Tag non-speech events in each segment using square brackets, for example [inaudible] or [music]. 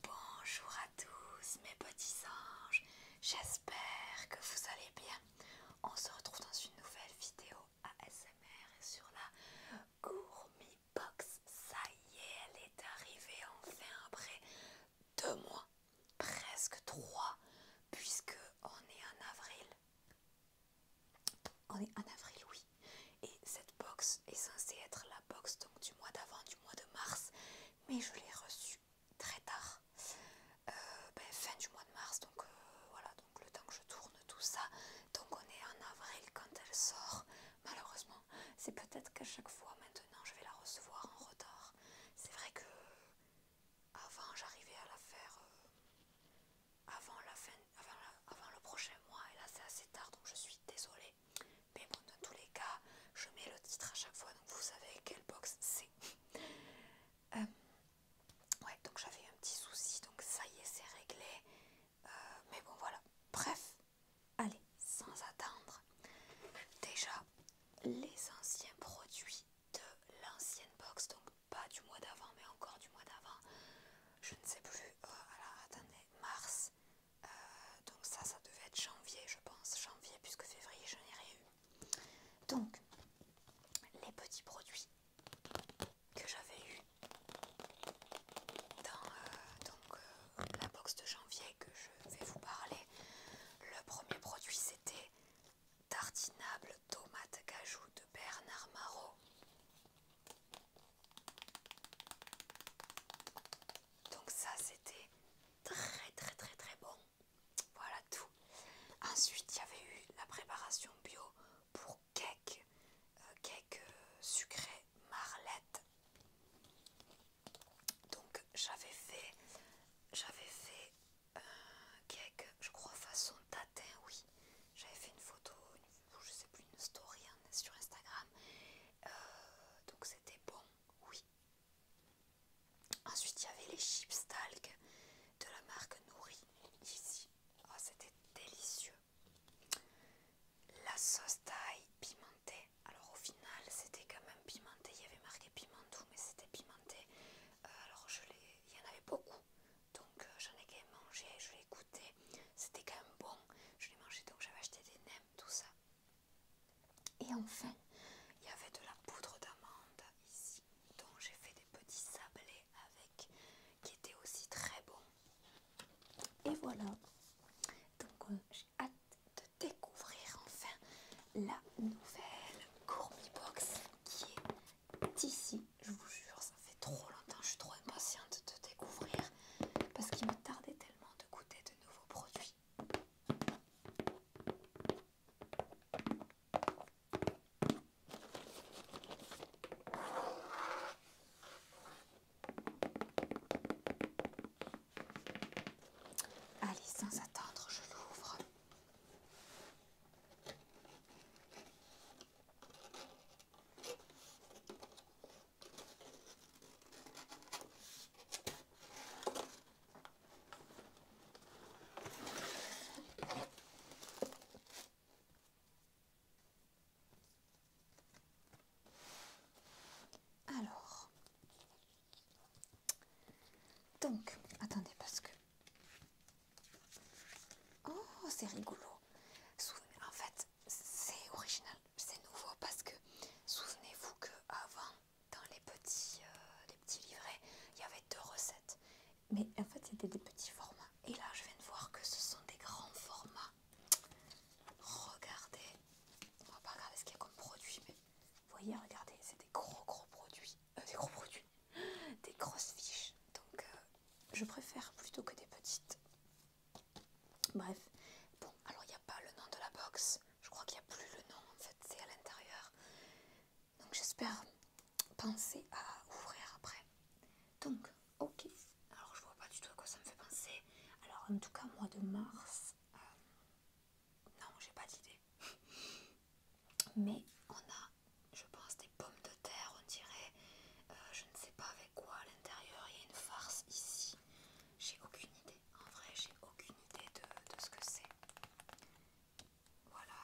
Bonjour à tous mes petits anges, j'espère que vous allez bien. On se retrouve dans une nouvelle vidéo ASMR sur la gourmi Box. Ça y est, elle est arrivée enfin après deux mois, presque trois, puisque on est en avril. On est en avril, oui. Et cette box est censée être la box donc, du mois d'avant mois de mars, mais je l'ai reçu très tard, euh, ben, fin du mois de mars, donc euh, voilà, donc le temps que je tourne tout ça, donc on est en avril quand elle sort, malheureusement, c'est peut-être qu'à chaque fois maintenant je vais la recevoir en retard, c'est vrai que avant j'arrivais à la faire euh, avant, la fin, avant, avant le prochain mois, et là c'est assez tard, donc je suis désolée. Mais bon, dans tous les cas, je mets le titre à chaque fois, donc vous savez quelle box c'est. Euh, ouais, donc j'avais un petit souci, donc ça y est, c'est réglé. Euh, mais bon, voilà. Bref, allez, sans attendre. Déjà, les anciens produits de l'ancienne box, donc pas du mois d'avant, mais encore du mois d'avant. Je ne sais plus. alors, euh, attendez, mars. Euh, donc ça, ça devait être janvier, je pense. Janvier, puisque février, je n'ai rien eu. Donc, les petits produits que j'avais eu dans euh, euh, la box de janvier que je vais vous parler. Le premier produit, c'était tartinable tomate cajou de Bernard Marot. Donc ça c'était très très très très bon. Voilà tout. Ensuite il y avait eu la préparation bio pour cake, euh, cake euh, sucré marlette. Donc j'avais fait, j'avais fait un euh, cake, je crois façon tatin, oui. J'avais fait une photo, je sais plus une story hein, sur Instagram. donc c'était bon oui. Ensuite, il y avait les chips talc de la marque Nourri ici. Oh, c'était délicieux. La sauce taille pimentée. Alors, au final, c'était quand même pimenté. Il y avait marqué pimentou, mais c'était pimenté. Euh, alors, il y en avait beaucoup. Donc, euh, j'en ai quand même mangé. Je l'ai goûté. C'était quand même bon. Je l'ai mangé, donc j'avais acheté des nems, tout ça. Et enfin, il y avait de la poudre d'amande ici, dont j'ai fait des petits sablés avec, qui étaient aussi très bon. Et voilà, donc euh, j'ai hâte de découvrir enfin la nouvelle Gourmet Box qui est ici. Je vous jure, ça fait trop longtemps, je suis trop impatiente de découvrir parce qu'il me tardait tellement de goûter de nouveaux produits. Allez, sans attendre, je l'ouvre. Alors, donc, attendez parce que... Oh, c'est rigolo. En fait, c'est original, c'est nouveau parce que souvenez-vous que avant dans euh, les petits, livrets, il y avait deux recettes. Mais en fait, c'était des petits formats. Et là, je viens de voir que ce sont des grands formats. Regardez. On va pas regarder ce qu'il y a comme produit, mais vous voyez, regardez, c'est des gros gros produits. Euh, des gros produits. Des grosses fiches. Donc, euh, je préfère plutôt que des petites Bref, bon, alors il n'y a pas le nom de la box, je crois qu'il n'y a plus le nom en fait, c'est à l'intérieur. Donc j'espère penser à ouvrir après. Donc, ok, alors je vois pas du tout à quoi ça me fait penser. Alors en tout cas, mois de mars, euh, non, j'ai pas d'idée. [laughs] Mais on a, je pense, des pommes de terre, on dirait, euh, je ne sais pas avec quoi à l'intérieur, il y a une farce ici. J'ai aucune idée. En vrai, j'ai aucune idée de, ce que c'est. Voilà,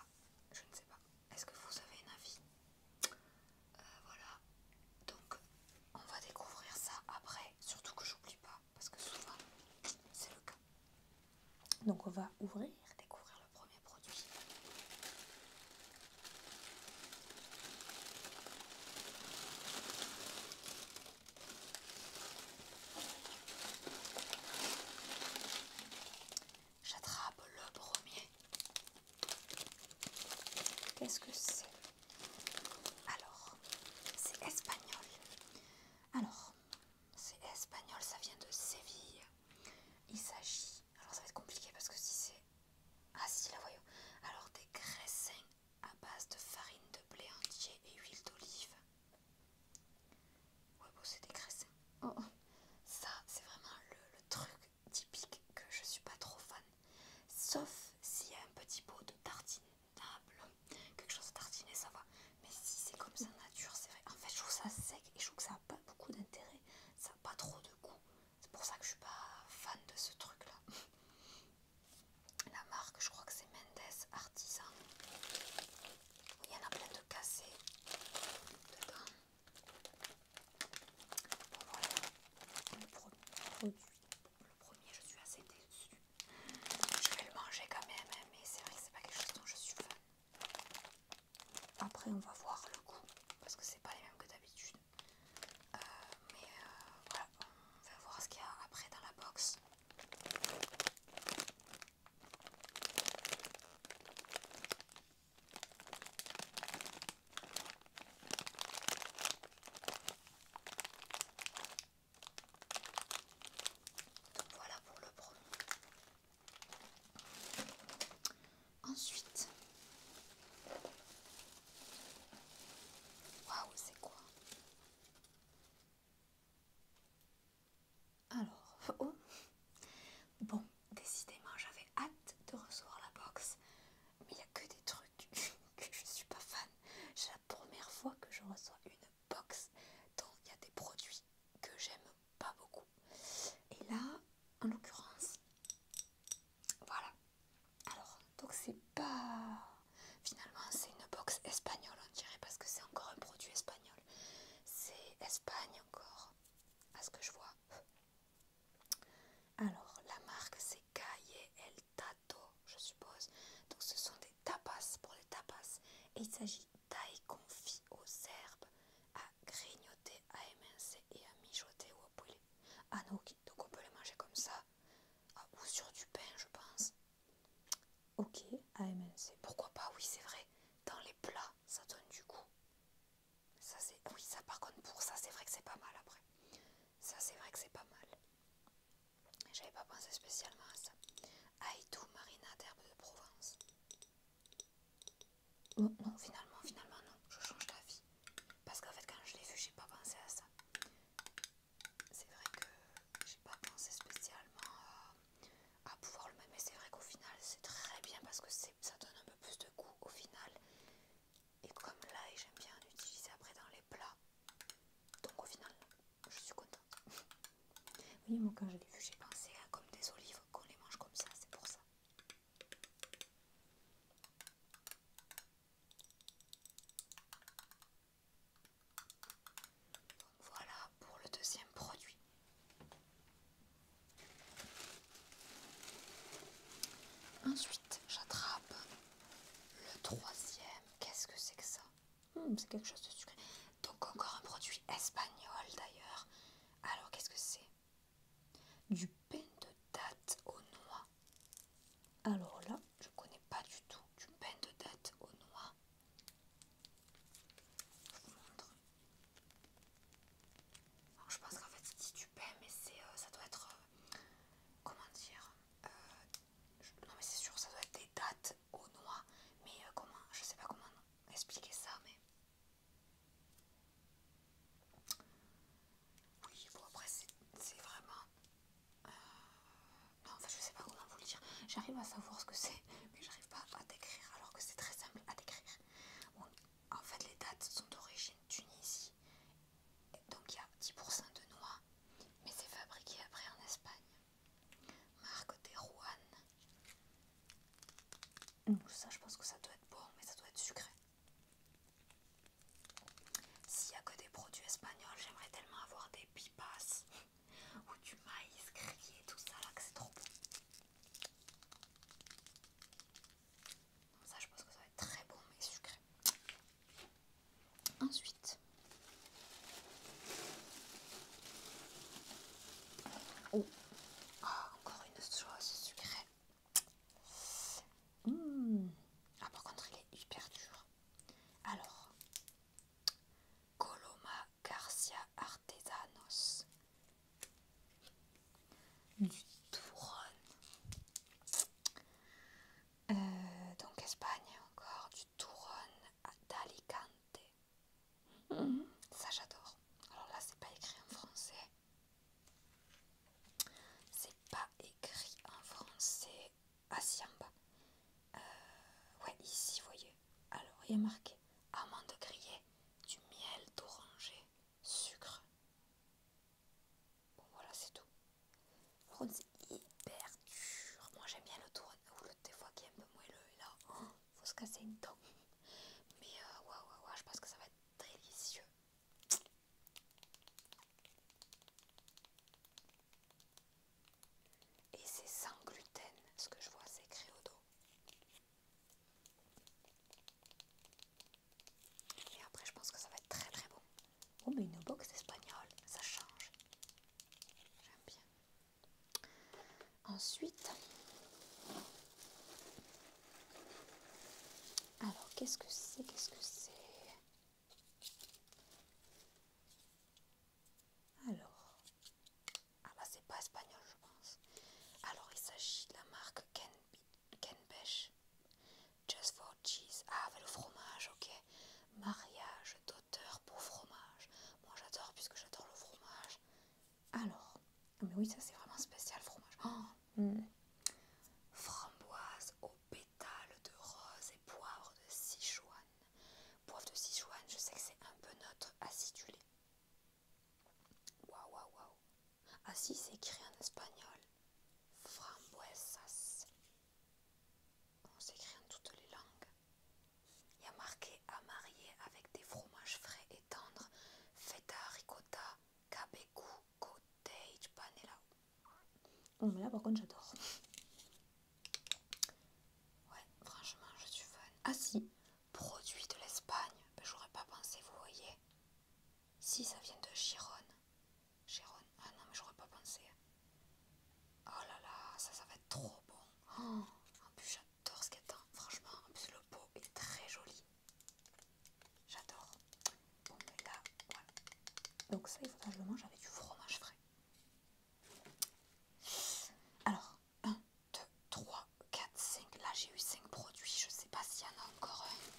je ne sais pas. Est-ce que vous avez un avis euh, Voilà. Donc, on va découvrir ça après. Surtout que j'oublie pas, parce que souvent, c'est le cas. Donc, on va ouvrir, découvrir le premier produit. J'attrape le premier. Qu'est-ce que c'est Alors, c'est espagnol. Alors, c'est espagnol, ça vient de Séville. Il s'agit, alors ça va être compliqué parce que si c'est... Ah si, la voyons. Alors, des graissins à base de farine de blé entier et huile d'olive. Ouais, bon, c'est des cressins oh, oh. ça, c'est vraiment le, truc typique que je suis pas trop fan. Sauf s'il y a un petit pot de tartinable, quelque chose à tartiner, ça va. Mais si c'est comme ça nature, c'est vrai. En fait, je trouve ça sec et je trouve que ça n'a pas beaucoup d'intérêt. Ça n'a pas trop de goût. C'est pour ça que je suis pas fan de ce truc-là. [laughs] La marque, je crois que c'est Mendes Artisan. Il y en a plein de cassés dedans. Bon, voilà. Le, premier, je suis assez déçue. Je vais le manger quand même, hein, mais c'est vrai que c'est pas quelque chose dont je suis fan. Après, on va voir le goût parce que c'est pas les mêmes que d'habitude. Euh, mais voilà. Euh, on va voir ce qu'il y a après dans la box. voilà pour le premier. Ensuite, waouh, c'est quoi alors, oh. Bon, décidément, j'avais hâte de recevoir la box, mais il n'y a que des trucs [laughs] que je ne suis pas fan. C'est la première fois que je reçois une box dont il y a des produits que j'aime pas beaucoup. Et là, en l'occurrence, voilà, alors, donc c'est pas... Finalement, c'est une box espagnole, on dirait, parce que c'est encore un produit espagnol. C'est Espagne encore, à ce que je vois. Alors, la marque, c'est Calle El Tato, je suppose. Donc, ce sont des tapas, pour les tapas. Et il s'agit d'ail confit aux herbes, à grignoter, à émincer et à mijoter ou à poulet Ah non, donc on peut les manger comme ça, ah, ou sur du pain, je pense. Ok, AMNC. Pourquoi pas Oui, c'est vrai. Dans les plats, ça donne du goût. Ça, c'est. Oui, ça, par contre, pour ça, c'est vrai que c'est pas mal après. Ça, c'est vrai que c'est pas mal. J'avais pas pensé spécialement à ça. Aïdou, Marina, d'herbe de Provence. Oh. non, finalement, finalement, non. Je change d'avis. Parce qu'en fait, quand je l'ai vu, j'ai pas pensé à ça c'est vrai que j'ai pas pensé spécialement euh, à, pouvoir le mettre, mais c'est vrai qu'au final c'est très bien parce que ça donne un peu plus de goût au final. Et comme l'ail, j'aime bien l'utiliser après dans les plats, donc au final je suis contente. [laughs] Oui, moi quand je vu, j'ai pensé à comme des olives qu'on les mange comme ça, c'est pour ça voilà pour le deuxième produit. Ensuite, j'attrape le troisième. Qu'est-ce que c'est que ça hmm, C'est quelque chose de sucré. Donc encore un produit espagnol d'ailleurs. Alors qu'est-ce que c'est Du pain de date aux noix. Alors là, je connais pas du tout du pain de date au noix. Je vous montre. je pense qu'en fait, c'est du pain, mais c'est, euh, ça doit être. Euh, comment dire euh, Non, mais c'est sûr, ça doit être des dates au noix. Mais comment Je sais pas comment expliquer ça, mais. Oui, bon après c'est vraiment euh, non en fait je sais pas comment vous le dire. J'arrive à savoir ce que c'est, mais j'arrive pas à décrire alors que c'est très simple à décrire. en fait, les dates sont d'origine Tunisie, donc il y a 10% de noix, mais c'est fabriqué après en Espagne. Marque des Donc, ça, je pense que ça doit être bon, mais ça doit être sucré. S'il n'y a que des produits espagnols, j'aimerais tellement avoir des pipas ou du maïs grillé, tout ça là, que c'est trop bon. Ça, je pense que ça va être très bon, mais sucré. Ensuite, oh. ah, encore une chose sucrée. Hmm. Ah, par contre, il est hyper dur. Alors, Coloma Garcia Artesanos. Du Touron. Euh, donc, Espagne encore. Du Touron d'Alicante. Ça, j'adore. Alors là, c'est pas écrit en français. C'est pas écrit en français assis en bas. ouais, ici, vous voyez. Alors, il y a marqué amande grillée, du miel d'oranger, sucre. Bon, voilà, c'est tout. c'est hyper dur. Moi, j'aime bien le tourne ou le des fois qui est un peu moelleux. Et là, oh, faut se casser une dent. Mais, euh, waouh, waouh, wow, je pense que ça va être délicieux. Et c'est sans gluten, ce que je vois, c'est au dos. Et après, je pense que ça va être très très bon. Oh, mais une box espagnole, ça change. J'aime bien. Ensuite, alors qu'est-ce que c'est Qu'est-ce que c'est alors, ah bah c'est pas espagnol je pense. Alors il s'agit de la marque Ken, Kenbesh. Just for cheese. Ah le fromage, ok. Mariage d'auteur pour fromage. Moi j'adore puisque j'adore le fromage. Alors, mais oui ça c'est vraiment spécial fromage. Oh, mm. Framboise au pétales de rose et poivre de Sichuan. Poivre de Sichuan, je sais que c'est un peu notre acidulé. Waouh, waouh, waouh. Ah si, c'est écrit en espagnol. Frambuesas. On s'écrit en toutes les langues. Il y a marqué à marier avec des fromages frais et tendres, feta ricotta, cabecu, cottage, panela Bon, mais là par contre, j'adore. Ouais, franchement, je suis fan. Ah si, produit de l'Espagne. Ben, J'aurais pas pensé, vous voyez. Si, ça vient de Chiron. Chiron. Ah non, mais j'aurais pas pensé. Oh là là, ça, ça va être trop bon. Oh, en plus, j'adore ce a Franchement, en plus, le pot est très joli. J'adore. Bon, mais ben, là, voilà. Donc ça, il faudra que je le mange avec du fromage frais. Alors, 1, 2, 3, 4, 5. Là, j'ai eu 5 produits. Je sais pas s'il y en a encore un.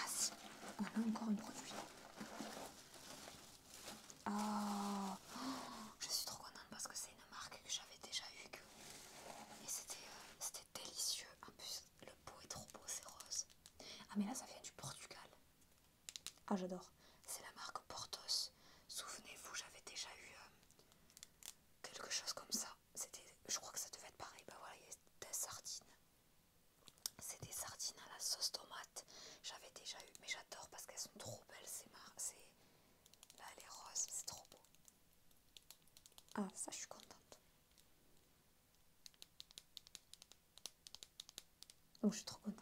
Ah si, on a encore un produit. Ah. Oh, je suis trop contente parce que c'est une marque que j'avais déjà eue. Et euh, c'était délicieux. En plus, le pot est trop beau, c'est rose. Ah mais là ça vient du Portugal. Ah j'adore. C'est la marque Portos. Souvenez-vous, j'avais déjà eu euh, quelque chose comme ça. C'était, je crois que ça devait être pareil. Bah voilà, il y a des sardines. C'est des sardines à la sauce tomate. J'avais déjà eu, mais j'adore parce qu'elles sont trop belles. C'est Là, elle est rose, c'est trop beau. Ah, ça, je suis contente. Donc je suis trop contente.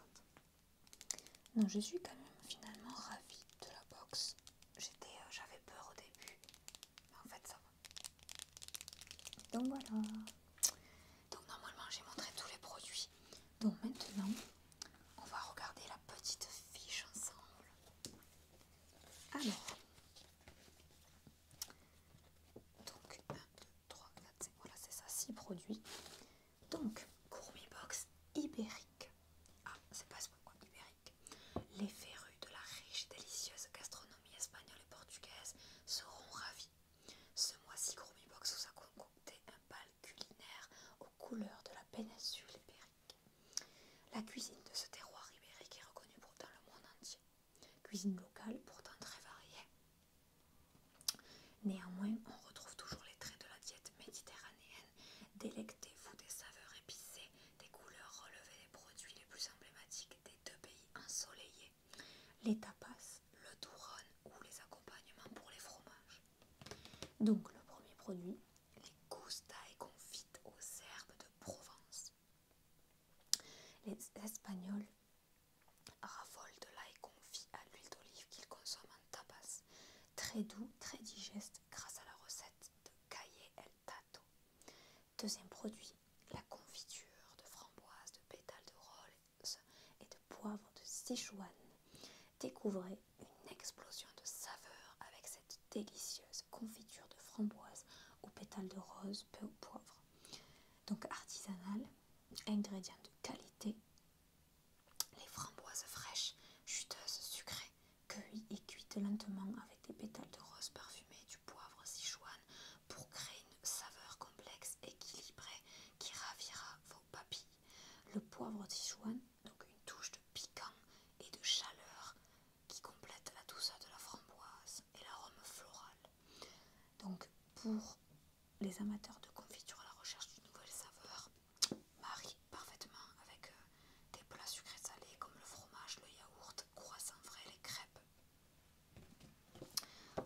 Non, je suis quand même finalement ravie de la box. J'étais, euh, j'avais peur au début, mais en fait ça va. Donc voilà. Donc normalement j'ai montré tous les produits. Donc maintenant, on va regarder la petite fiche ensemble. Alors, donc 1, 2, 3, 4, 5, voilà c'est ça, 6 produits. Donc Gourmet Box Ibérique. Ah, c'est pas ce quoi, Ibérique. Les férues de la riche et délicieuse gastronomie espagnole et portugaise seront ravies. Ce mois-ci, Gourmet Box vous a concocté un bal culinaire aux couleurs de la péninsule ibérique. La cuisine de ce terroir ibérique est reconnue pour dans le monde entier. Cuisine locale, pourtant très variée. Néanmoins, on retrouve toujours les traits de la diète méditerranéenne. Délectez-vous des saveurs épicées, des couleurs relevées des produits les plus emblématiques des deux pays ensoleillés. Les tapas, le touron ou les accompagnements pour les fromages. Donc le premier produit, les et confites aux herbes de Provence. Les Espagnols Raffole de l'ail confit à l'huile d'olive qu'il consomme en tapas, très doux, très digeste grâce à la recette de Caillé El Tato. Deuxième produit, la confiture de framboise, de pétales de rose et de poivre de Sichuan. Découvrez une explosion de saveur avec cette délicieuse confiture de framboise aux pétales de rose, peu ou poivre donc artisanal, ingrédients de qualité, les framboises fraîches, juteuses, sucrées, cueillies et cuites lentement avec des pétales de rose parfumées, du poivre Sichuan pour créer une saveur complexe, équilibrée qui ravira vos papilles. Le poivre Sichuan, donc une touche de piquant et de chaleur qui complète la douceur de la framboise et l'arôme floral. Donc, pour les amateurs de confiture à la recherche d'une nouvelle saveur, marie parfaitement avec euh, des plats sucrés salés comme le fromage, le yaourt, croissant frais, les crêpes.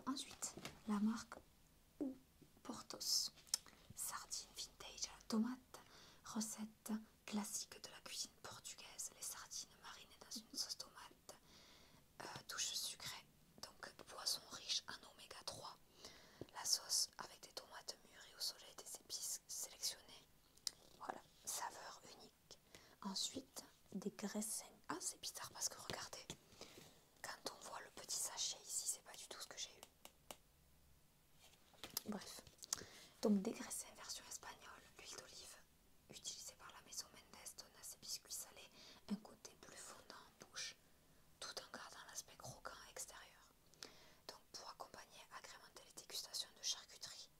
Ensuite, la marque ou Portos, sardines vintage à la tomate, recette classique de la cuisine portugaise, les sardines marinées dans une sauce tomate, Touche euh, sucrée, donc poisson riche, en oméga 3. La sauce avec des tomates et au soleil, des épices sélectionnées. Voilà, saveur unique. Ensuite, des graisses Ah, c'est bizarre parce que regardez, quand on voit le petit sachet ici, c'est pas du tout ce que j'ai eu. Bref, donc des graissins version espagnole, l'huile d'olive, utilisé par la maison Mendes donne à ses biscuits salés un côté plus fondant en bouche, tout en gardant l'aspect croquant extérieur. Donc pour accompagner, agrémenter les dégustations de charcuterie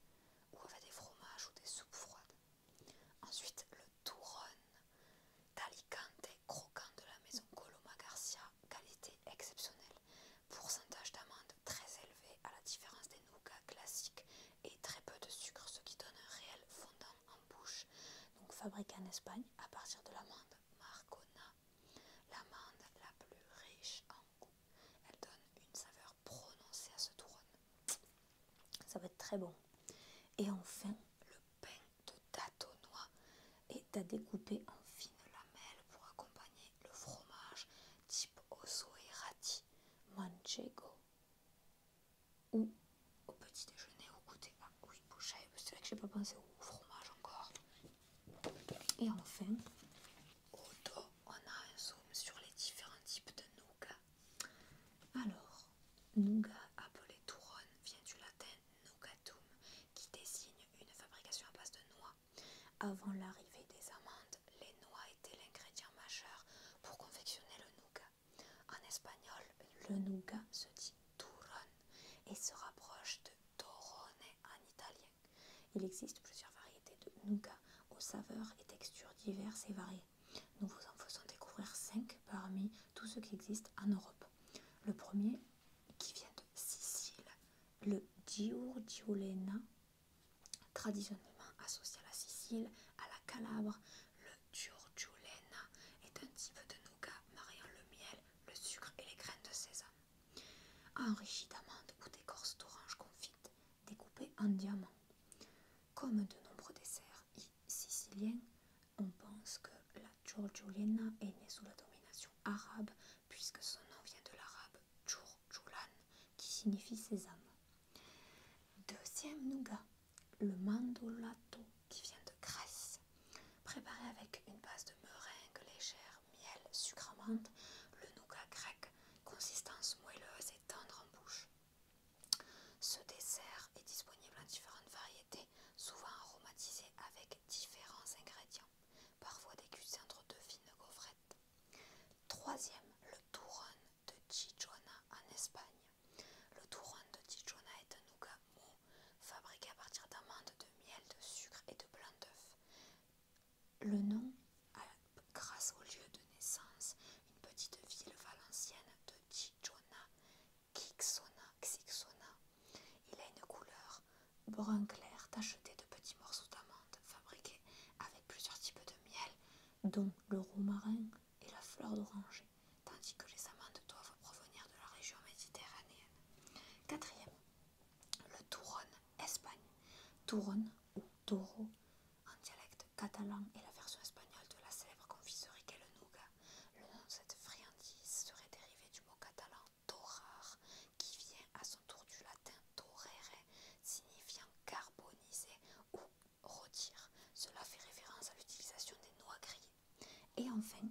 ou avec des fromages ou des soupes froides. Ensuite, le touron et croquant de la maison Coloma Garcia, qualité exceptionnelle. Pourcentage d'amande très élevé à la différence des nougats classiques et très peu de sucre, ce qui donne un réel fondant en bouche, donc fabriquée en Espagne à partir de l'amande Marcona. L'amande la plus riche en goût. Elle donne une saveur prononcée à ce trône. Ça va être très bon. Et enfin, le pain de tâtonnois est à découper en fines lamelles pour accompagner le fromage type osso et rati manchego ou au petit déjeuner, au goûter. Ah oui, c'est vrai que j'ai pas pensé au fromage encore. Et enfin, au dos, on a un zoom sur les différents types de nougat. Alors, nougat appelé touronne vient du latin nougatum, qui désigne une fabrication à base de noix. Avant l'arrivée des amandes, les noix étaient l'ingrédient majeur pour confectionner le nougat. En espagnol, le nougat se dit turrón et se rapproche de torrone en italien. Il existe plusieurs variétés de nougat aux saveurs et textures diverses et variées. Nous vous en faisons découvrir cinq parmi tous ceux qui existent en Europe. Le premier qui vient de Sicile, le Giurgiolena, traditionnellement associé à la Sicile, à la Calabre, le turjulena est un type de nougat mariant le miel, le sucre et les graines de sésame, enrichi d'amandes ou d'écorce d'oranges confites, découpées en diamants. Comme de nombreux desserts siciliens, on pense que la turjulena est née sous la domination arabe puisque son nom vient de l'arabe turjulan qui signifie sésame. Deuxième nougat, le mandolato qui vient de Grèce. Préparé avec une base de meringue légère, miel, sucre le nougat grec, consistance moelleuse et tendre en bouche. Ce dessert est disponible en différentes variétés, souvent aromatisé avec différents ingrédients, parfois dégusté entre deux fines gaufrettes. Troisième, le touron de Chichona en Espagne. Le touron de Tijona est un nougat fabriqué à partir d'amandes, de miel, de sucre et de blanc d'œuf. Le nom a, grâce au lieu de naissance, une petite ville valencienne de Tijona, Kixona. Xixona. Il a une couleur brun clair tachetée de petits morceaux d'amandes fabriqués avec plusieurs types de miel, dont le romarin et la fleur d'oranger tandis que les amandes doivent provenir de la région méditerranéenne. Quatrième, le Touron, Espagne. Touron ou Toro, en dialecte catalan, est la version espagnole de la célèbre confiserie qu'est le nougat. Le nom de cette friandise serait dérivé du mot catalan torrar, qui vient à son tour du latin torere, signifiant carbonisé ou rôtir. Cela fait référence à l'utilisation des noix grillées. Et enfin,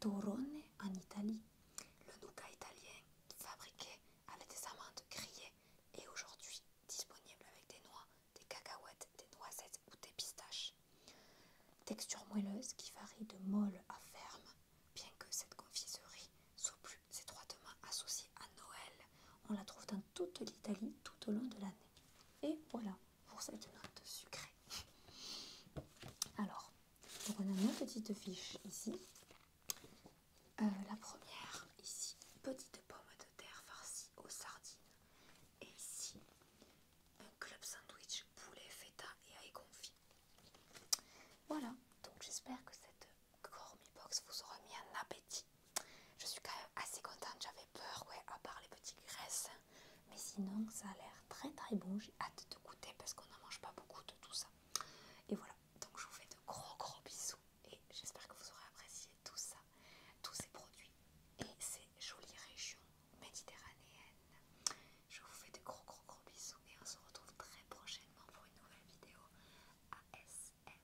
torrone en Italie. Le nougat italien fabriqué avec des amandes grillées est aujourd'hui disponible avec des noix, des cacahuètes, des noisettes ou des pistaches. Texture moelleuse qui varie de molle à ferme, bien que cette confiserie soit plus étroitement associée à Noël. On la trouve dans toute l'Italie tout au long de l'année. Et voilà pour cette note sucrée. Alors, on a une petite fiche ici. Euh, la première ici, petite pomme de terre farcie aux sardines. Et ici, un club sandwich poulet feta et ail confit. Voilà, donc j'espère que cette gourmet box vous aura mis un appétit. Je suis quand même assez contente, j'avais peur, ouais, à part les petites graisses. Mais sinon, ça a l'air très très bon. J'ai hâte de goûter parce qu'on en mange pas beaucoup de tout ça. Et voilà, donc je vous fais de gros gros bisous et j'espère que vous aurez apprécié tout ça, tous ces produits et ces jolies régions méditerranéennes. Je vous fais de gros gros gros bisous et on se retrouve très prochainement pour une nouvelle vidéo ASMR.